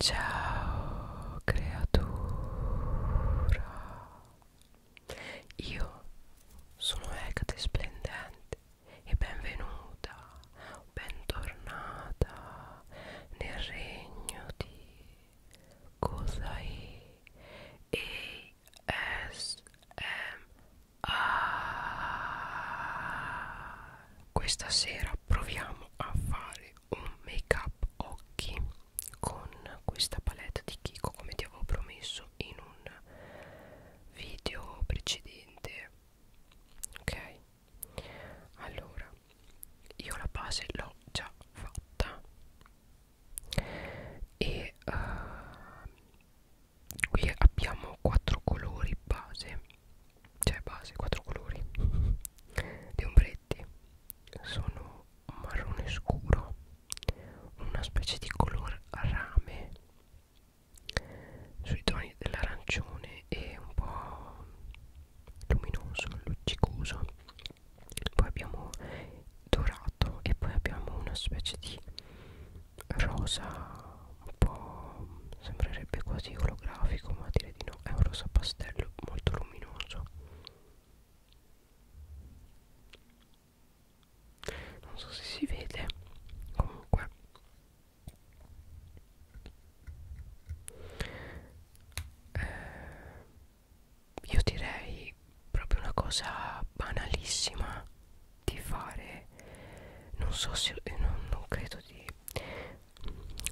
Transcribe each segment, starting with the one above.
Ciao creatura, io sono Ecate Splendente e benvenuta, bentornata nel regno di Cosai ASMR. Questa sera proviamo a fare un make up occhi con questa palette di Kiko come ti avevo promesso in un video precedente ok allora io la base l'ho già fatta e uh, qui abbiamo quattro colori base cioè base quattro colori gli ombretti sono marrone scuro una specie di color rame sui toni dell'arancione e un po' luminoso, luccicoso poi abbiamo dorato e poi abbiamo una specie di rosa un po' sembrerebbe quasi olografico ma direi di no è un rosa pastello molto luminoso non so se si vede comunque eh, io direi proprio una cosa banalissima di fare non so se non, non credo di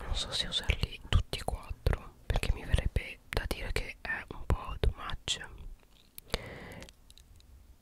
non so se usarli tutti e quattro perché mi verrebbe da dire che è un po' too much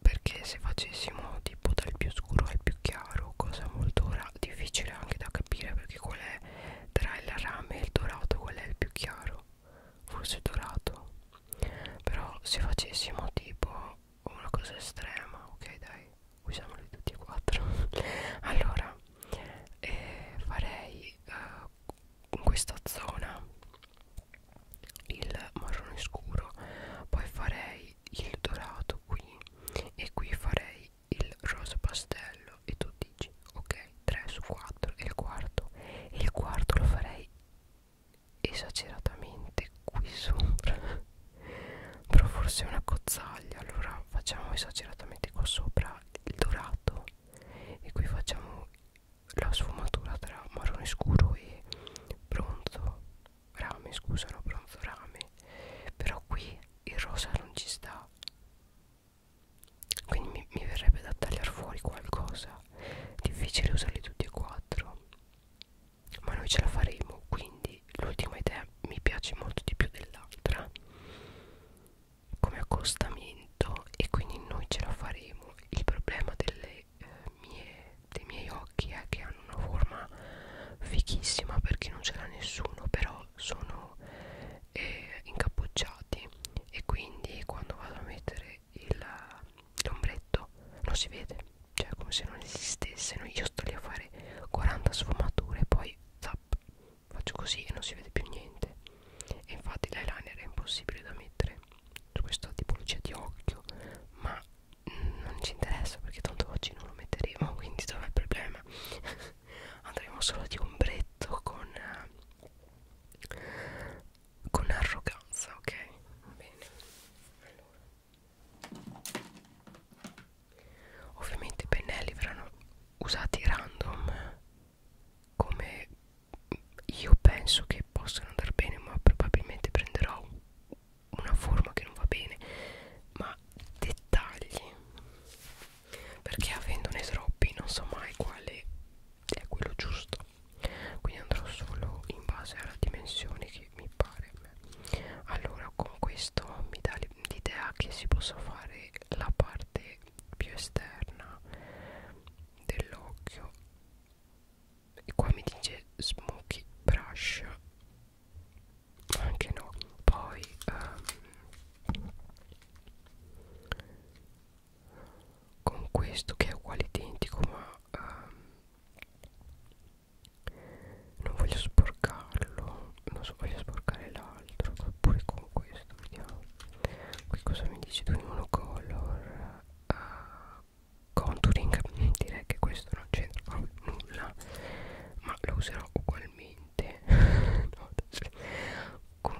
perché se facessimo tipo dal più scuro al più chiaro cosa molto difficile anche da capire perché qual è tra il rame e il dorato qual è il più chiaro forse il dorato però se facessimo tipo una cosa estrema ok dai usiamoli tutti e quattro allora eh, farei eh, in questa zona il marrone scuro poi farei il dorato qui e qui farei il rosa pastello e tu dici ok 3 su 4 e il quarto e il quarto lo farei esageratamente qui sopra però forse è una cozzaglia allora facciamo esageratamente qua sopra il dorato e qui facciamo la sfumatura tra marrone scuro e bronzo rame scusano bronzo rame però qui il rosa non ci sta quindi mi, mi verrebbe da tagliare fuori qualcosa difficile usarli tutti e quattro ma noi ce la faremo quindi l'ultima idea me mi piace molto di più dell'altra come accostamento e quindi noi ce la faremo il problema delle, eh, mie, dei miei occhi è che hanno una forma fichissima perché non ce l'ha nessuno però sono eh, incappucciati e quindi quando vado a mettere l'ombretto non si vede cioè come se non esistesse io sto lì a fare 40 sfumature poi poi zap faccio così e non si vede più niente e infatti l'eyeliner è impossibile da mettere su questa tipologia di occhio ma non ci interessa perché tanto oggi non lo metteremo quindi dov'è il problema andremo solo di ombretto con eh, con arroganza ok bene allora Ovviamente i pennelli verranno usati random come io penso che possano andare bene ma probabilmente prenderò una forma che non va bene ma dettagli perché avendone troppi non so mai quale è quello giusto quindi andrò solo in base alla dimensione che mi pare allora con questo mi dà l'idea che si possa fare la parte più esterna dell'occhio e qua mi dice smoky brush anche no poi um, con questo che è uguale identico ma um, non voglio sporcarlo non so voglio sporcare l'altro oppure con questo vediamo qui cosa mi dici tu in monocolor uh, contouring direi che questo non c'entra nulla ma lo userò ugualmente no, con,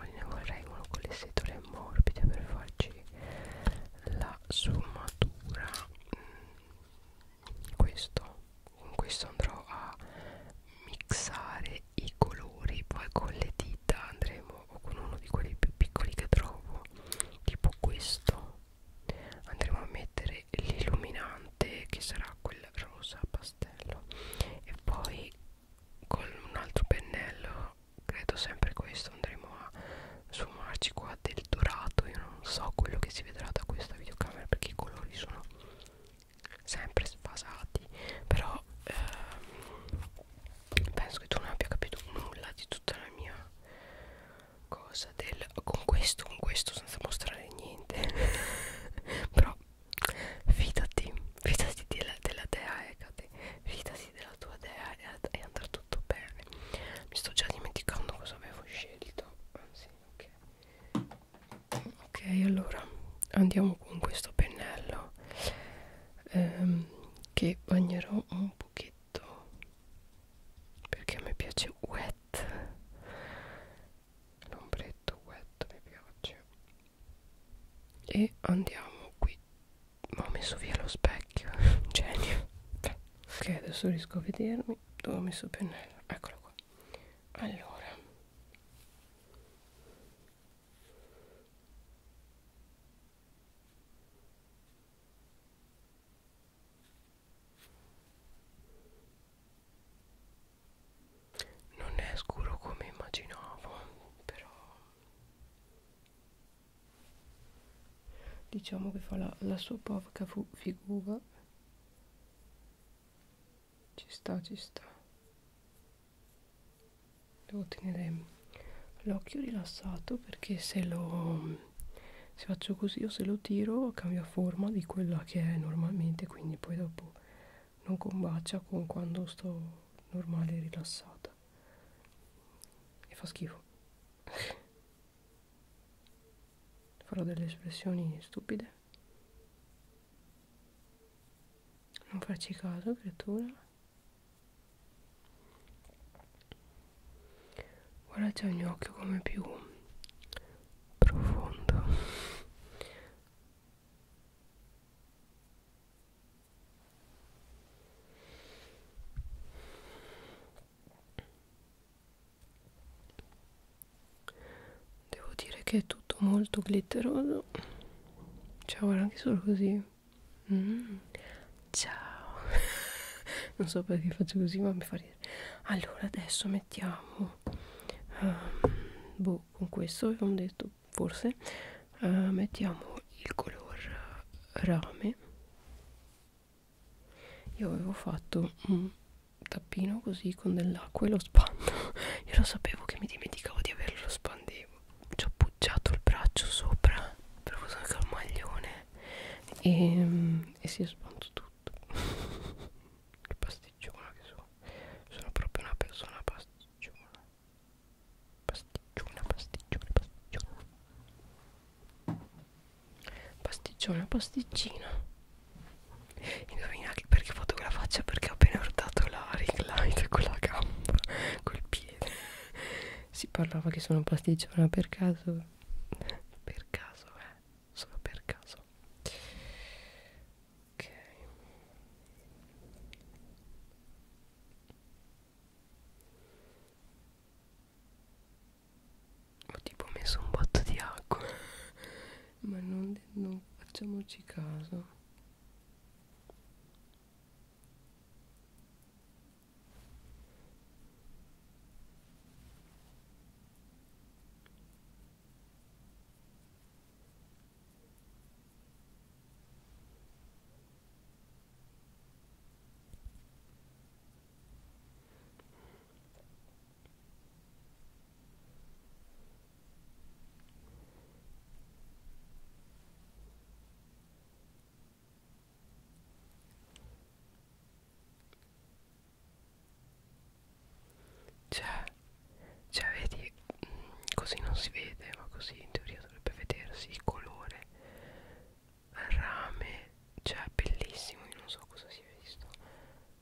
ne vorrei uno con le setole morbide per farci la sommatura mm questo con questo andrò a mixare i colori poi con le dita andremo o con uno di quelli più piccoli che trovo tipo questo andremo a mettere l'illuminante che sarà quel rosa pastello e poi con un altro pennello credo sempre questo andremo a sfumarci qua del dorato in io non so quello che si vedrà da questa videocamera perché i colori sono sempre sfasati però ehm, penso che tu non abbia capito nulla di tutta la mia cosa del con questo con questo senza mostrare niente però fidati fidati della, della dea Ecate fidati della tua dea e, e andrà tutto bene mi sto già dimenticando cosa avevo scelto anzi ok ok allora andiamo con questo pennello ehm, che bagnerò un pochetto perché a me piace wet l'ombretto wet mi piace e andiamo qui ma ho messo via lo specchio genio ok adesso riesco a vedermi scusami dove ho messo il pennello eccolo qua allora non è scuro come immaginavo però diciamo che fa la, la sua povera figura ci sta ci sta devo tenere l'occhio rilassato perché se lo se faccio così o se lo tiro cambia forma di quella che è normalmente quindi poi dopo non combacia con quando sto normale e rilassata e fa schifo farò delle espressioni stupide non farci caso creatura ora c'è ogni occhio come più profondo Devo dire che è tutto molto glitteroso. Ciao, guarda anche solo così. Mm. Ciao. non so perché faccio così, ma mi fa ridere. Allora, adesso mettiamo... Um, boh, con questo avevamo detto, forse. Uh, mettiamo il color rame io avevo fatto un tappino così con dell'acqua e lo spando io lo sapevo che mi dimenticavo di averlo lo spandevo ci ho appoggiato il braccio sopra però usato anche il maglione e, ehm, e si è spanto tutto che pasticciona che sono sono proprio una persona pasticciona pasticciona pasticciona pasticciona pasticcione pasticcina indovina anche perché ho fatto quella faccia perché ho appena urtato la ring light con la gamba col piede si parlava che sono pasticciona per caso per caso eh solo per caso ok ho tipo messo un botto di acqua ma non, non facciamoci caso cioè, cioè vedi, mm, così non si vede, ma così in teoria dovrebbe vedersi il colore rame cioè bellissimo io non so cosa sia visto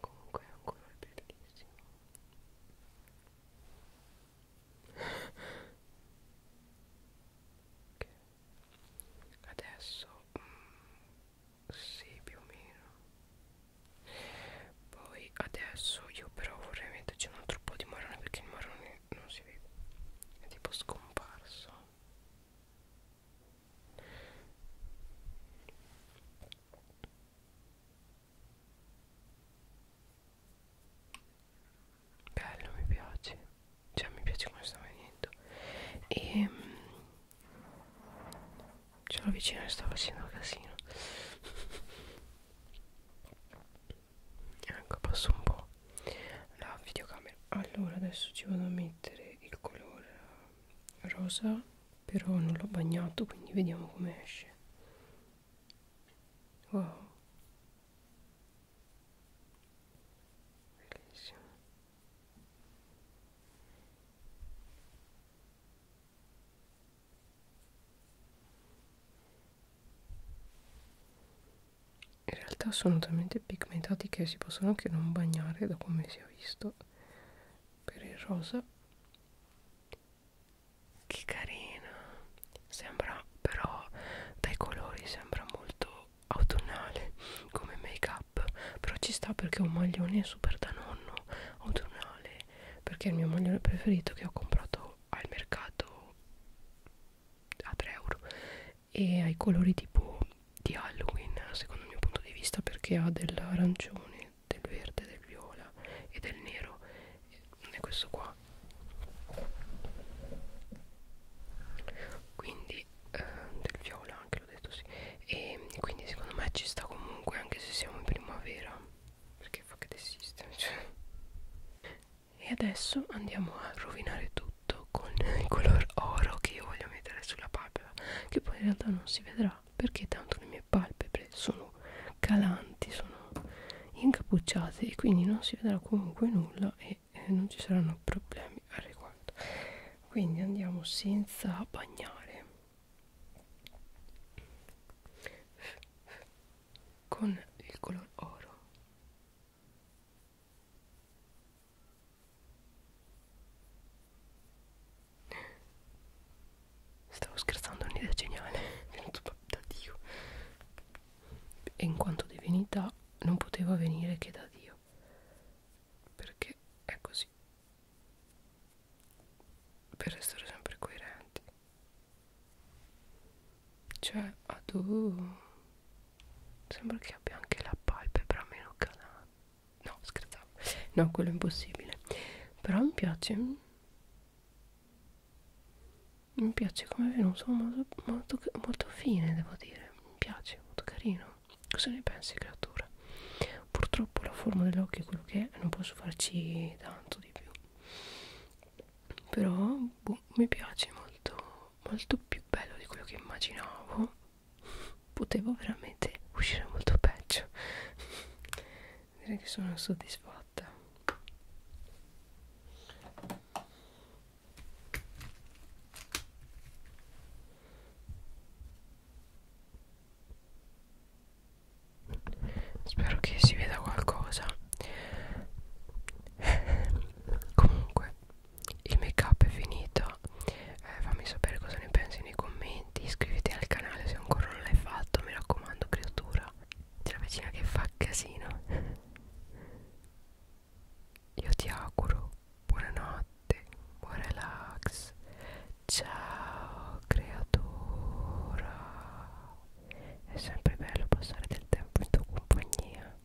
comunque è un colore bellissimo okay. adesso mm, sì più o meno poi adesso io però vorrei metterci un altro po' di marrone perché il marrone non si vede è tipo scomparso bello mi piace cioè mi piace come sta venendo e ehm, c'è la vicina che sta facendo casino ecco passo un po' la videocamera allora adesso ci vado a mettere il colore rosa però non l'ho bagnato quindi vediamo come esce wow bellissimo in realtà sono talmente pigmentati che si possono anche non bagnare da come si è visto per il rosa che carina sembra però dai colori sembra molto autunnale come make up però ci sta perché è un maglione super da nonno autunnale perché è il mio maglione preferito che ho comprato al mercato a 3 euro e ha i colori tipo di Halloween secondo il mio punto di vista perché ha dell'arancione, del verde, del viola e del nero non è questo qua quindi eh, del viola anche l'ho detto sì e quindi secondo me ci sta comunque anche se siamo in primavera perché fa che desiste cioè. e adesso andiamo a rovinare tutto tutto con il color oro che io voglio mettere sulla palpebra che poi in realtà non si vedrà perché tanto le mie palpebre sono calanti sono incappucciate e quindi non si vedrà comunque nulla e eh, non ci saranno problemi al riguardo quindi andiamo senza bagnare con il color oro Stavo scherzando, è un'idea geniale, è venuto proprio da Dio. E in quanto divinità non poteva venire che da Dio. Perché è così. Per restare sempre coerenti. Cioè, adoro sembra che abbia anche la palpebra meno calata no scherzavo no quello è impossibile però mi piace mi piace come è venuto molto, molto, molto fine devo dire mi piace molto carino cosa ne pensi creatura purtroppo la forma dell'occhio è quello che è non posso farci tanto di più però boh, mi piace molto molto più bello di quello che immaginavo potevo veramente uscire molto peggio direi che sono soddisfatta spero che si veda qualcosa comunque il make up è finito eh, fammi sapere cosa ne pensi nei commenti iscriviti al canale se ancora non l'hai fatto mi raccomando creatura c'è la vicina che fa casino io ti auguro buonanotte buon relax ciao creatura è sempre bello passare del tempo in tua compagnia